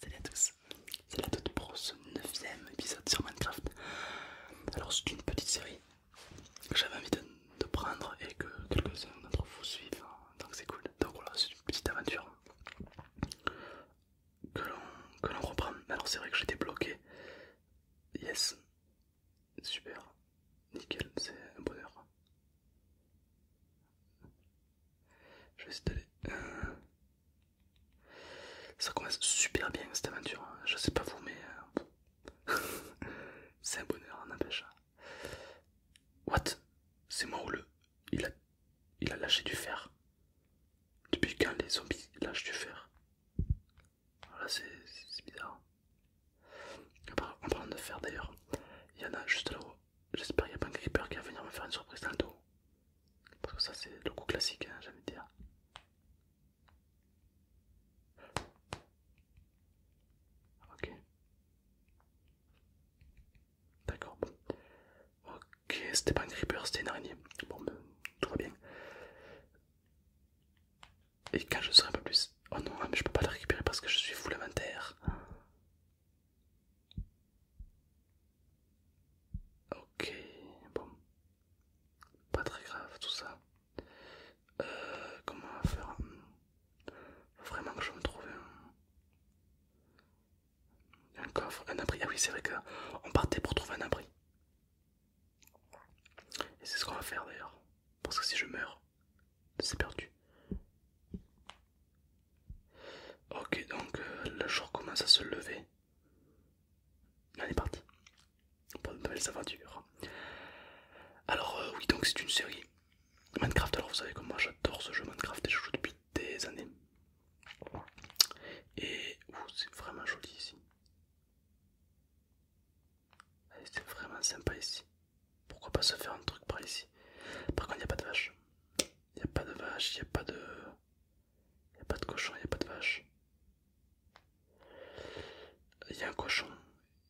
Salut à tous, c'est la toute pour ce 9ème épisode sur Minecraft. Alors c'est une petite série que j'avais envie de, prendre et que quelques-uns d'entre vous suivent, hein, donc c'est cool. Donc voilà, c'est une petite aventure que l'on reprend. Alors c'est vrai que j'étais bloqué. Yes, super, nickel, c'est un bonheur. Je vais essayer d'aller... Euh, ça commence super bien cette aventure. Hein. Je sais pas vous, mais euh, c'est un bonheur, n'empêche. Hein. What C'est moi ou le Il a, lâché du fer. Depuis quand les zombies lâchent du fer Voilà, c'est bizarre. Hein. En parlant de fer d'ailleurs, il y en a juste là-haut. J'espère qu'il n'y a pas un creeper qui va venir me faire une surprise tantôt. Parce que ça c'est le coup classique, hein, j'ai dire. Ok. D'accord, Ok, c'était pas un creeper, c'était une araignée. Bon, ben, tout va bien. Et quand je serai pas plus... Oh non, hein, mais je peux pas la récupérer parce que je suis fou l'inventaire Ok, bon, pas très grave tout ça. Euh, comment on va faire Faut vraiment que je me trouve un... un coffre, un abri. Ah oui, c'est vrai on partait pour trouver un abri. Et c'est ce qu'on va faire d'ailleurs. Parce que si je meurs, c'est perdu. Ok, donc euh, le jour commence à se lever on est parti pour de nouvelles aventures. Alors euh, oui donc c'est une série Minecraft. Alors vous savez que moi j'adore ce jeu Minecraft et je joue depuis des années. Et c'est vraiment joli ici. Eh, c'est vraiment sympa ici. Pourquoi pas se faire un truc par ici Par contre il n'y a pas de vache. Il n'y a pas de vache, il n'y a pas de... Il a pas de cochon, il a pas de vache. Il y a un cochon,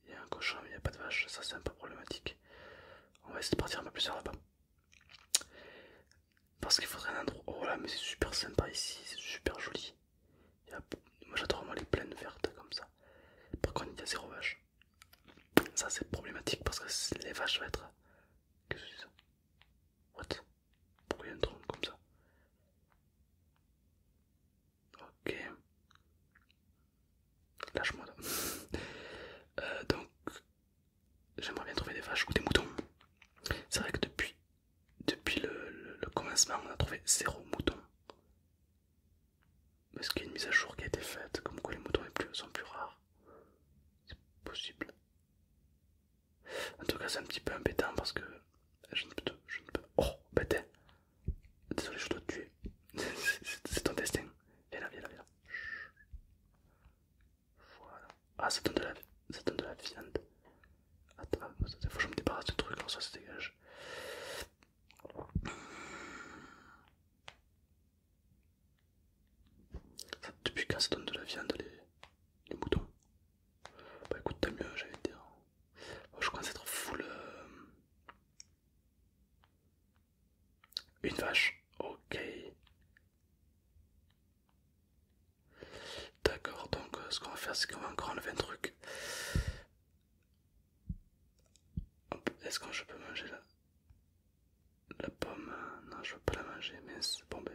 il y a un cochon, mais il n'y a pas de vache. Ça, c'est un peu problématique. On va essayer de partir un peu plus tard, là-bas. Parce qu'il faudrait un endroit. Oh là, mais c'est super sympa ici, c'est super joli. Moi, j'adore vraiment les plaines vertes comme ça. Par contre, il y a zéro vache. Ça, c'est problématique parce que les vaches vont être. Qu'est-ce que ça What Pourquoi il y a un comme ça Ok. Lâche-moi euh, donc, j'aimerais bien trouver des vaches ou des moutons. C'est vrai que depuis, depuis le, commencement, on a trouvé zéro mouton. Est-ce qu'il y a une mise à jour qui a été faite Comme quoi les moutons sont plus rares. C'est possible. En tout cas, c'est un petit peu impétant parce que je ne peux. Je ne peux... Oh, bête hein. Désolé, je dois te tuer. c'est ton destin. Viens là, viens là, viens là. Voilà. Ah, ça donne de la, viande. Attends, il faut que je me débarrasse de ce truc, alors ça se dégage depuis quand ça donne de la viande les, moutons Bah écoute, t'as mieux, j'allais dire. Oh, je commence à être full. Euh, une vache, ok. D'accord, donc euh, ce qu'on va faire, c'est qu'on va encore enlever un truc. Est-ce que je peux manger là la pomme, euh, non, je veux pas la manger, mais bon, ben.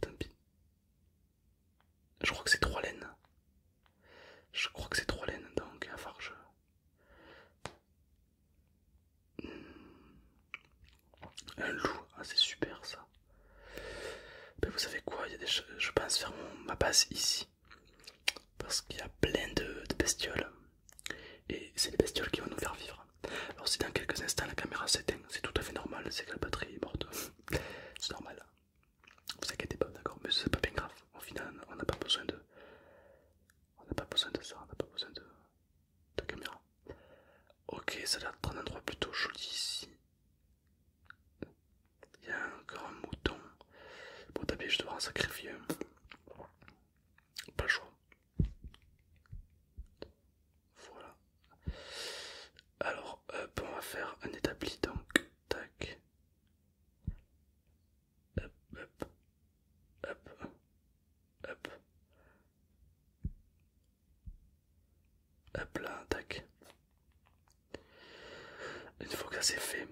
Tant pis. Je crois que c'est trois laines. Je crois que c'est trois laines, donc à farge hmm. Un loup, ah, c'est super ça. Ben, vous savez quoi, il y je pense faire ma base ici. Parce qu'il y a plein de bestioles et c'est les bestioles qui vont nous faire vivre. Alors si dans quelques instants la caméra s'éteint, c'est tout à fait normal, c'est que la batterie est morte, c'est normal. Vous inquiétez pas, d'accord, mais c'est pas bien grave. Au final, on n'a pas besoin de, on n'a pas besoin de ça, on n'a pas besoin de, de caméra. Ok, ça a l'air un endroit plutôt joli ici. Il y a encore un mouton. Bon, t'as je dois en sacrifier. Pas le choix. Voilà. Alors, euh, on va faire un établi donc. Tac. Hop, hop. Hop. Hop. Hop là, tac. Une fois que ça c'est fait,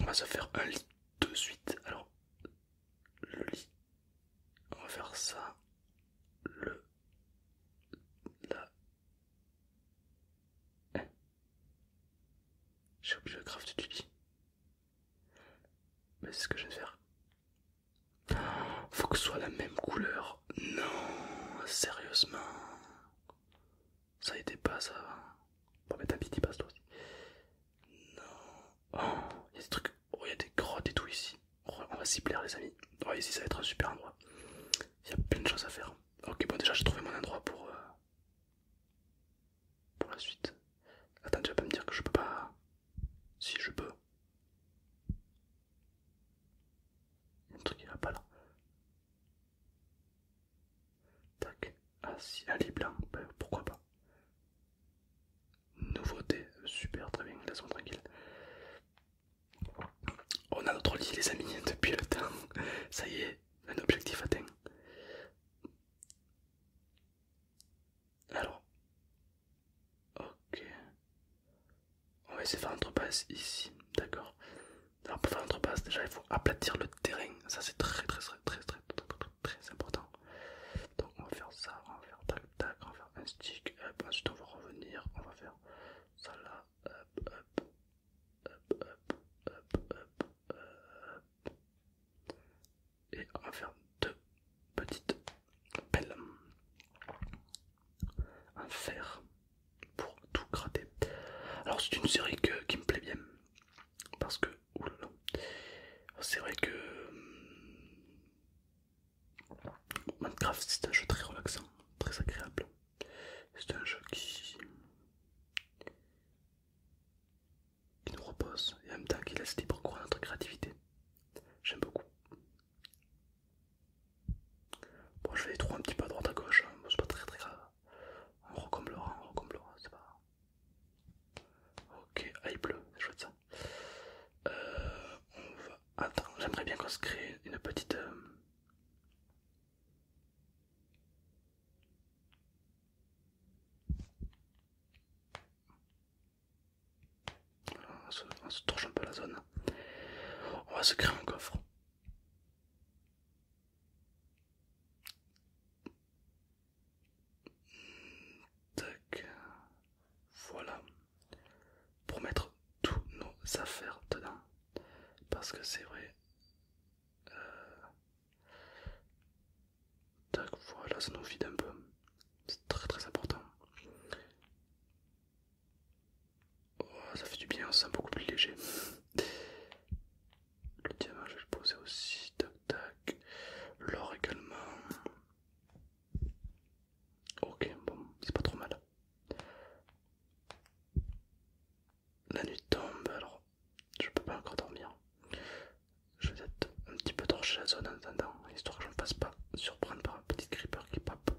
on va se faire un lit de suite. Alors, le lit on va faire ça le la j'ai oublié le craft mais c'est ce que je vais faire faut que ce soit la même couleur non sérieusement ça a été pas ça bon mais un y passe toi aussi non oh, y a des trucs, oh, il y a des grottes et tout ici. Oh, on va s'y plaire, les amis. Oh, ici, ça va être un super endroit. Il y a plein de choses à faire. Ok, bon, déjà, j'ai trouvé mon endroit pour. Euh, pour la suite. Attends, tu vas pas me dire que je peux pas. Si, je peux. un truc, qui va pas là. Tac. Ah, si, un lit blanc, pourquoi pas. Nouveauté, super, très bien, laissons tranquille. On a notre lit les amis depuis le temps, ça y est, un objectif atteint. Alors, ok, on va essayer de faire l'entrepasse ici, d'accord. Alors pour faire l'entrepasse déjà il faut aplatir le terrain, ça c'est très très très très très très important. Donc on va faire ça, on va faire tac tac, on va faire un stick, hop, ensuite on va revenir, on va faire ça là, hop, hop, hop, hop, Et on va faire deux petites pelles en fer pour tout gratter. Alors c'est une série que, qui me plaît bien parce que c'est vrai que euh, Minecraft c'est un jeu très relaxant, très agréable. C'est un jeu qui... nous repose et en même temps qui laisse libre cours à notre créativité. J'aime beaucoup. Bon, je vais les trous un petit peu à droite à gauche, hein. c'est pas très très grave. On recomblera, on recomblera, c'est pas Ok, aïe ah, bleue, c'est chouette ça. Euh, on va... Attends, j'aimerais bien qu'on se crée une petite... Euh, on se, on se torche un peu la zone. On va se créer un coffre. Voilà. Pour mettre toutes nos affaires dedans. Parce que c'est vrai. Euh, voilà, ça nous vide un peu. C'est très très important. Oh, ça fait du bien, se sent beaucoup plus léger. Le diamant, je vais le poser aussi. Tac, tac. L'or également. Ok, bon, c'est pas trop mal. La nuit tombe, alors je peux pas encore dormir. Je vais être un petit peu torcher la zone en attendant, histoire que je ne fasse pas surprendre par un petit creeper qui pape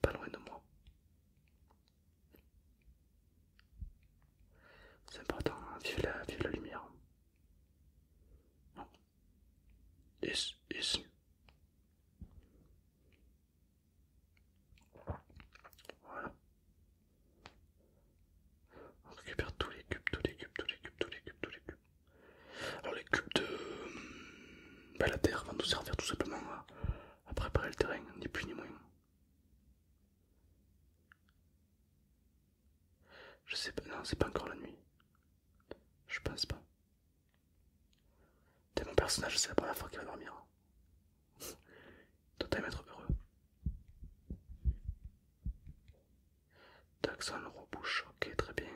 pas loin de moi. C'est important, hein, vive la lumière. This is voilà. On récupère tous les cubes, tous les cubes, tous les cubes, tous les cubes, tous les cubes. Alors les cubes de hum, bah, la terre vont nous servir tout simplement à préparer le terrain, ni plus ni moins. Je sais pas, non, c'est pas encore la nuit. Je pense pas. T'es mon personnage, c'est la première fois qu'il va dormir. même être heureux. on rebouche, ok, très bien.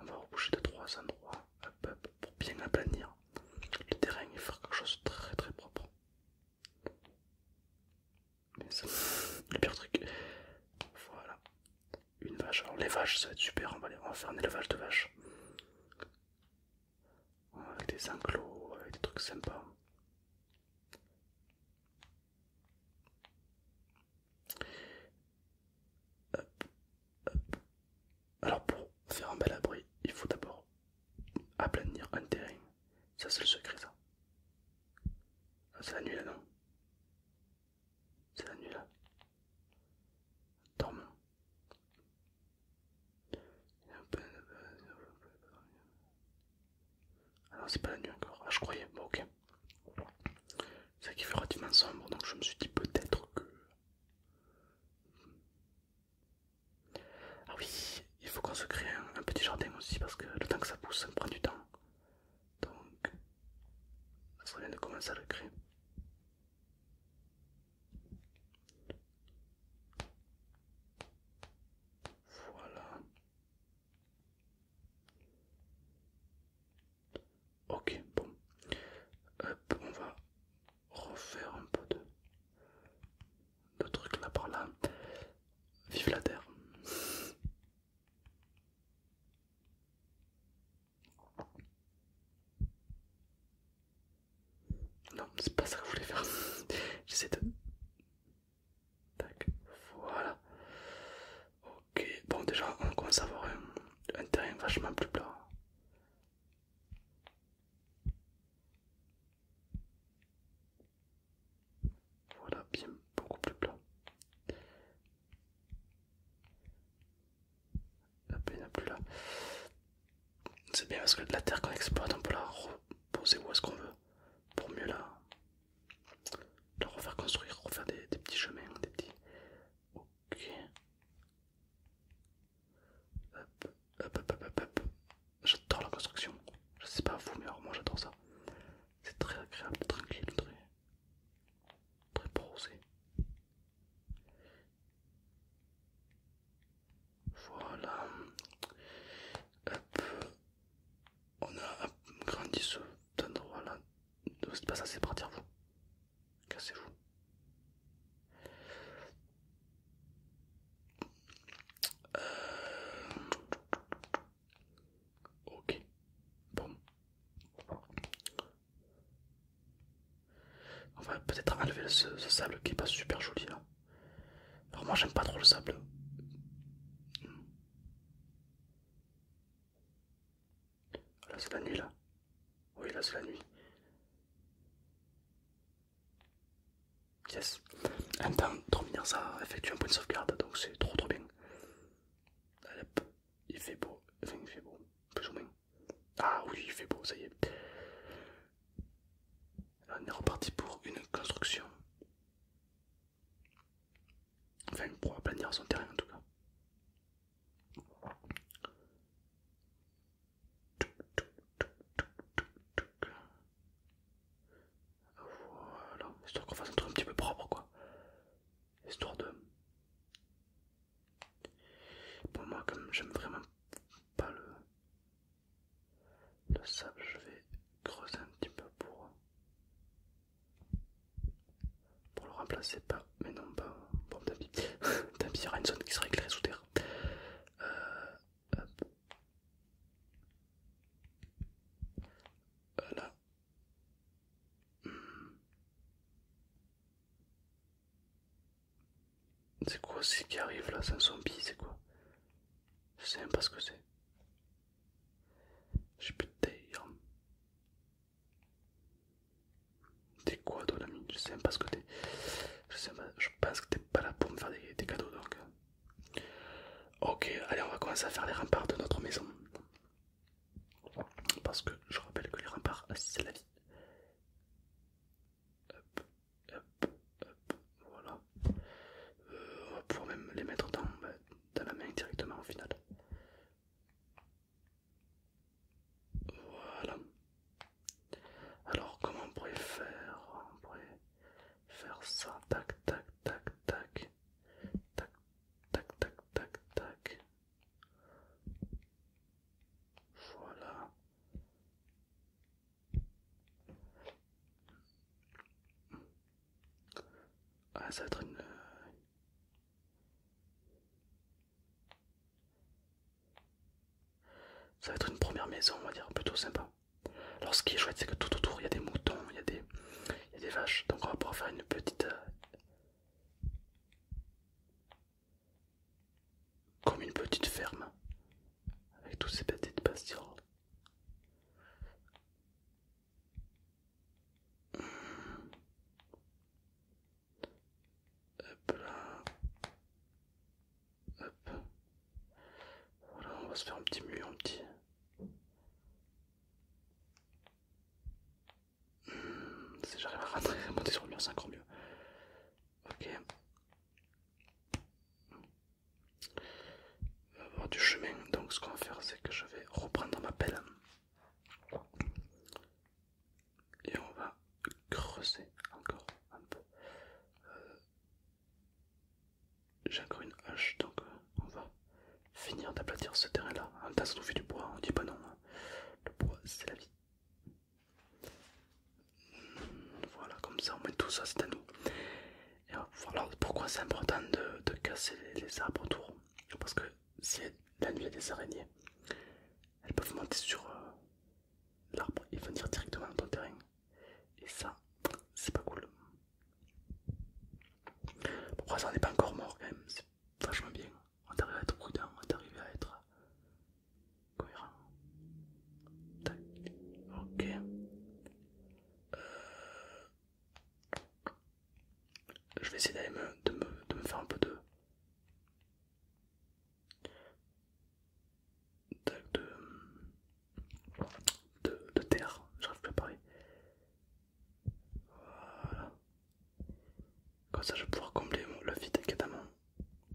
On va reboucher de trois endroits hop, peuple pour bien aplanir le terrain et faire quelque chose de très très propre le pire truc. Voilà. Une vache. Alors les vaches, ça va être super On va faire un élevage de vaches. Avec des enclos, avec des trucs sympas. Alors pour faire un bel abri, il faut d'abord Aplanir un terrain, ça c'est le secret ça. c'est la nuit là, non C'est la nuit là. Dormant. Ah non, c'est pas la nuit encore. Ah, je croyais. Bon, ok. C'est qui fait relativement sombre, donc je me suis dit peut-être que. Ah oui, il faut qu'on se crée un, petit jardin aussi parce que le temps que ça pousse, ça me prend du temps. Donc, ça serait de commencer à le créer. Voilà. Ok, bon. on va refaire un peu de le truc là par là. Vive la terre. Non, c'est pas ça que je voulais faire. J'essaie de. Tac, voilà. Ok, bon, déjà, on commence à avoir un, un terrain vachement plus plat. Voilà, bien beaucoup plus plat. La peine n'est plus là. C'est bien parce que la terre qu'on exploite, on peut la reposer où est-ce qu'on veut pour mieux la, refaire construire, refaire des, petits chemins, des petits. Ok. J'adore la construction. Je sais pas vous, mais moi j'adore ça. C'est très agréable, tranquille, très, très Voilà. On a grandi ce endroit là. Ne pas ça, c'est partir vous. Cassez-vous. Euh, ok, bon. On va peut-être enlever ce, sable qui est pas super joli là. Alors moi j'aime pas trop le sable. Là c'est la nuit là. Oui là c'est la nuit. Yes. Un temps, de ça effectuer un point de sauvegarde, donc c'est trop trop bien. Allez, il fait beau, enfin il fait beau, plus ou moins. Ah oui, il fait beau, ça y est. on est reparti pour une construction. Enfin, pour aplanir son terrain en tout cas. Voilà, histoire qu'on fasse un truc un petit peu propre quoi. Histoire de. Bon, moi, comme j'aime vraiment pas le, le sable, je vais creuser un petit peu pour, pour le remplacer par. Mais non, pas. Bon, tant pis il y aura une zone qui sera éclairée sous terre. Euh, Hmm. C'est quoi ce qui arrive là C'est un zombie, c'est quoi Je sais même pas ce que c'est. J'ai plus de taille. Hein. T'es quoi toi l'ami Je sais même pas ce que t'es. Je sais pas, je pense que t'es pas là pour me faire des, des cadeaux donc. Euh. Ok, allez, on va commencer à faire les remparts de notre maison. Parce que je rappelle que les remparts, c'est la vie. Hop, hop, hop, voilà. Euh, on va pouvoir même les mettre dans la main directement au final. Voilà. Alors comment on pourrait faire On pourrait faire ça, tac, tac, tac, tac, tac, tac, tac, tac, tac. Voilà. Ah, ça va être une... Euh, ça va être une première maison, on va dire, plutôt sympa. Alors ce qui est chouette, c'est que tout autour, il y a des moutons, il y, a des, il y a des vaches. Donc on va pouvoir faire une petite... Euh, comme une petite ferme. Avec toutes ces petites pastilles hum. Hop là. Hop. Voilà, on va se faire un petit mur, un petit. Hmm, si j'arrive à rentrer, monter sur le mur, c'est encore mieux. Ok. On va avoir du chemin, donc ce qu'on va faire, c'est que je vais reprendre ma pelle. Et on va creuser encore un peu. Euh, encore une hache donc on va finir d'aplatir ce terrain-là. En même temps, ça du bois, on dit pas non. Hein. Le bois, c'est la vie. Hmm, voilà, comme ça, on met tout ça, c'est à nous. pourquoi c'est important de, casser les, arbres autour. Parce que si la nuit a des araignées, elles peuvent monter sur, euh, l'arbre il va venir directement dans ton terrain et ça c'est pas cool pourquoi ça n'est pas encore mort quand même c'est vachement bien on t'arrive à être prudent on arrive à être cohérent ok euh, je vais essayer d'aller de me faire un peu de de, terre, j'arrive plus à parler. Comme ça je vais pouvoir combler le vide est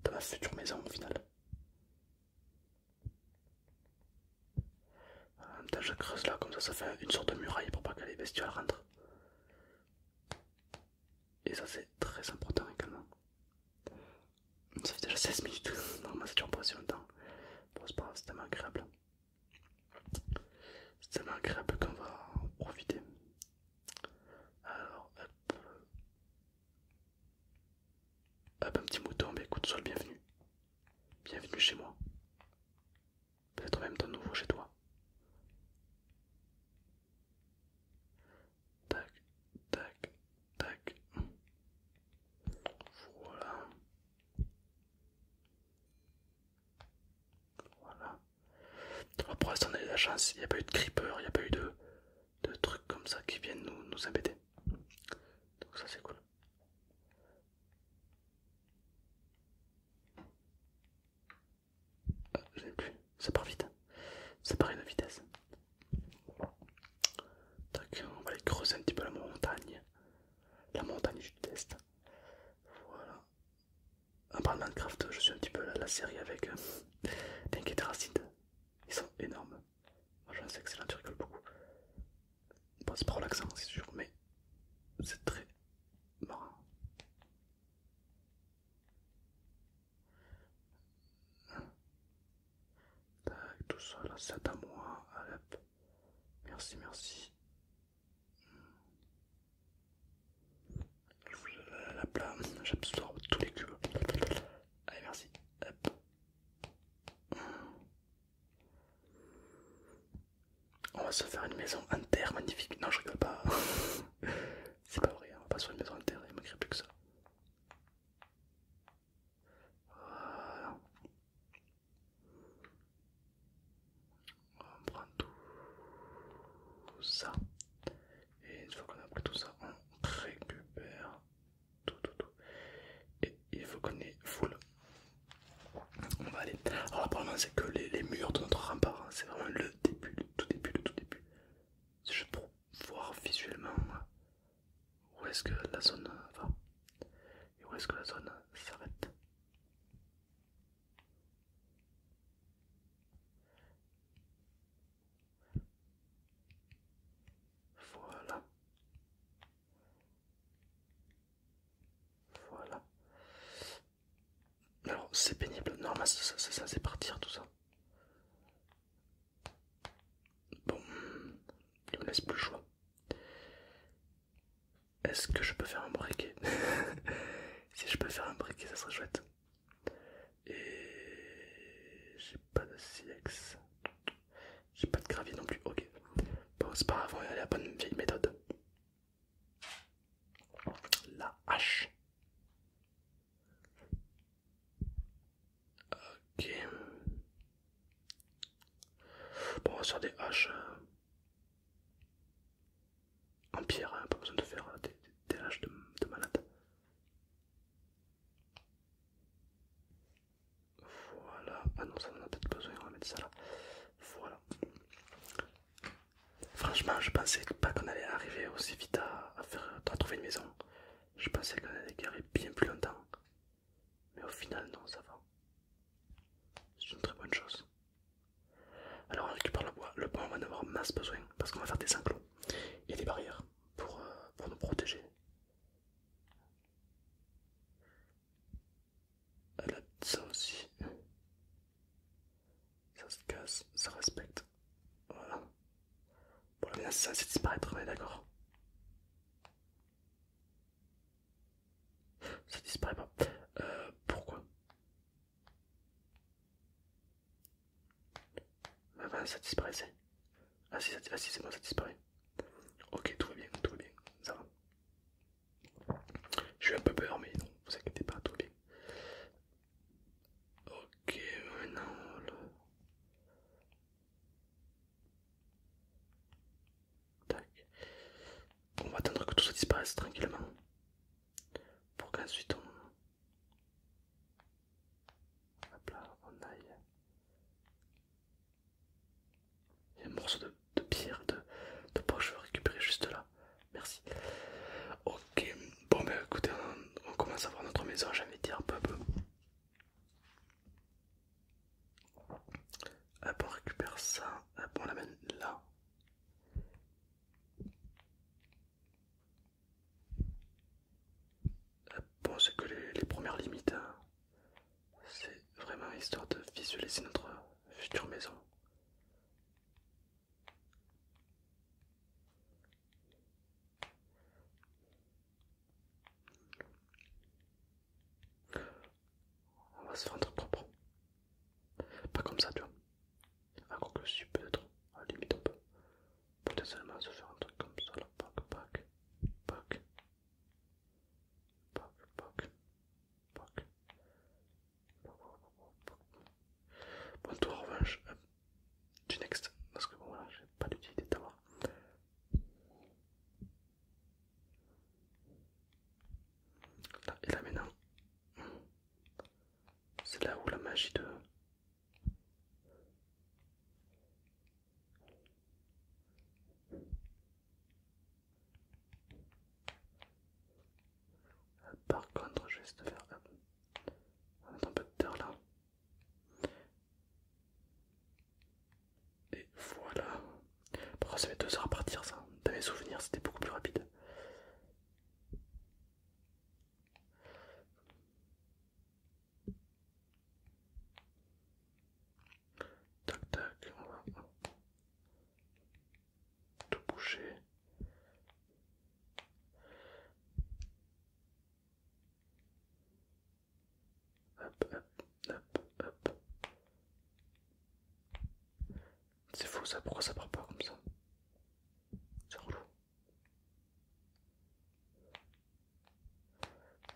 de ma future maison au final. je creuse là, comme ça ça fait une sorte de muraille pour pas que les bestioles rentrent. Et ça c'est très important également ça fait déjà 16 minutes, normalement ça dure pas si longtemps. c'est pas grave, c'est tellement agréable. C'est tellement agréable qu'on va en profiter. Alors, hop. Hop, un petit mouton, mais bah, écoute, sois le bienvenu. Bienvenue chez moi. Peut-être même ton nouveau chez toi. Tac, tac, tac. Voilà. Voilà. pour on la chance, il n'y a pas eu de creeper, il n'y a pas eu de, de trucs comme ça qui viennent nous, nous embêter. Donc ça c'est cool. Ah, plus ça part vite, hein. ça part à une vitesse. on va aller creuser un petit peu la montagne, la montagne je test. Voilà. En parlant de Minecraft, je suis un petit peu la, série avec euh, racine Ils sont énormes. Moi je sais excellent, tu rigoles beaucoup. pas c'est pas relaxant, c'est sûr, mais c'est très marrant tout ça là, c'est à moi, Merci, merci. Hmm. La plate, j'absorbe tous les cubes. Allez, merci. Hop. On va se faire une maison inter magnifique. Non, je rigole pas. C'est pas vrai, on va pas se faire une maison inter, il crée plus que ça. Voilà. On prend tout ça. Et une fois qu'on a pris tout ça, on récupère tout, tout, tout. Et il faut qu'on ait full. On va aller. Alors le problème c'est que les, les murs de notre rempart, hein. c'est vraiment le début, le tout début, le tout début. Je voir visuellement où est-ce que la zone va et où est-ce que la zone s'arrête. Voilà. Voilà. Alors c'est pénible. Normal, c'est c'est ça c'est partir tout ça. Bon, il me laisse plus le choix. Est-ce que je peux faire un briquet Si je peux faire un briquet, ça serait chouette. Et j'ai pas de silex J'ai pas de gravier non plus. Ok. Bon, c'est pas grave, on la bonne vieille méthode. La hache. Ok. Bon, on va faire des haches euh, en pierre, hein, pas besoin de faire euh, des, haches de, malade. Voilà, ah non, ça on en a peut-être besoin, on va mettre ça là. Voilà. Franchement, je pensais pas qu'on allait arriver aussi vite à, trouver une maison. Je pensais qu'on allait garder bien plus longtemps. Mais au final, non, ça va. C'est une très bonne chose. Alors on récupère le bois. Le bois, on va en avoir masse besoin parce qu'on va faire des enclos et des barrières pour, euh, nous protéger. aussi. Ça se casse, ça respecte. Voilà. Pour la menace, ça disparaît, disparaître, on est d'accord. Ça disparaît pas. Euh, pourquoi Ah bah, ça disparaissait. Ah si, ah, si c'est bon, ça disparaît. Ok, tout va bien, tout va bien, ça va. Je suis un peu peur, mais non, vous inquiétez pas, tout va bien. Ok, maintenant On va attendre que tout ça disparaisse tranquillement. Pour qu'ensuite on... là, on aille. Il y a un morceau de, pierre, de, de poche, je vais récupérer juste là merci. Ok, bon bah écoutez, on, commence à voir notre maison, j'ai envie de dire, peu à peu. Ah, on récupère ça, ah, bon on l'amène là. Ah, bon, c'est que les, premières limites, hein. c'est vraiment histoire de visualiser notre future maison. On va se faire un truc propre. Pas comme ça, tu vois. un quoi que si, peut-être. À la limite, on peut. Peut-être seulement se faire un truc comme ça, Pac, pac, pac. Pac, pac, pac. Bon, toi revanche, euh, du next, parce que bon, voilà, j'ai pas l'utilité de et là maintenant, c'est là où la magie de. Euh, par contre, je vais te faire. On va un peu de terre là. Et voilà. Pourquoi ça fait deux heures à partir, ça. Dans mes souvenirs, c'était beaucoup plus rapide. Tac tac, tout boucher. Hop, hop, hop, hop. C'est faux ça, pourquoi ça part pas comme ça C'est relou.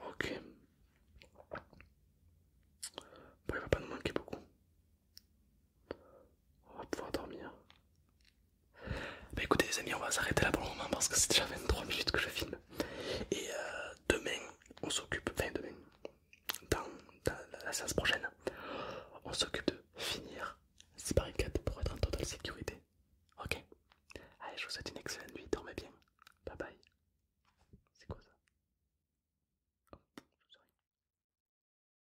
Ok. Bon, il va pas nous manquer beaucoup. On va pouvoir dormir. Bah écoutez les amis, on va s'arrêter là pour le moment parce que c'est déjà 23 minutes que je filme. Et euh, demain, on s'occupe, enfin demain, dans, la, séance prochaine, on s'occupe de finir paris 4 pour être en totale sécurité. Ok Allez, je vous souhaite une excellente nuit, dormez bien. Bye bye. C'est quoi ça oh,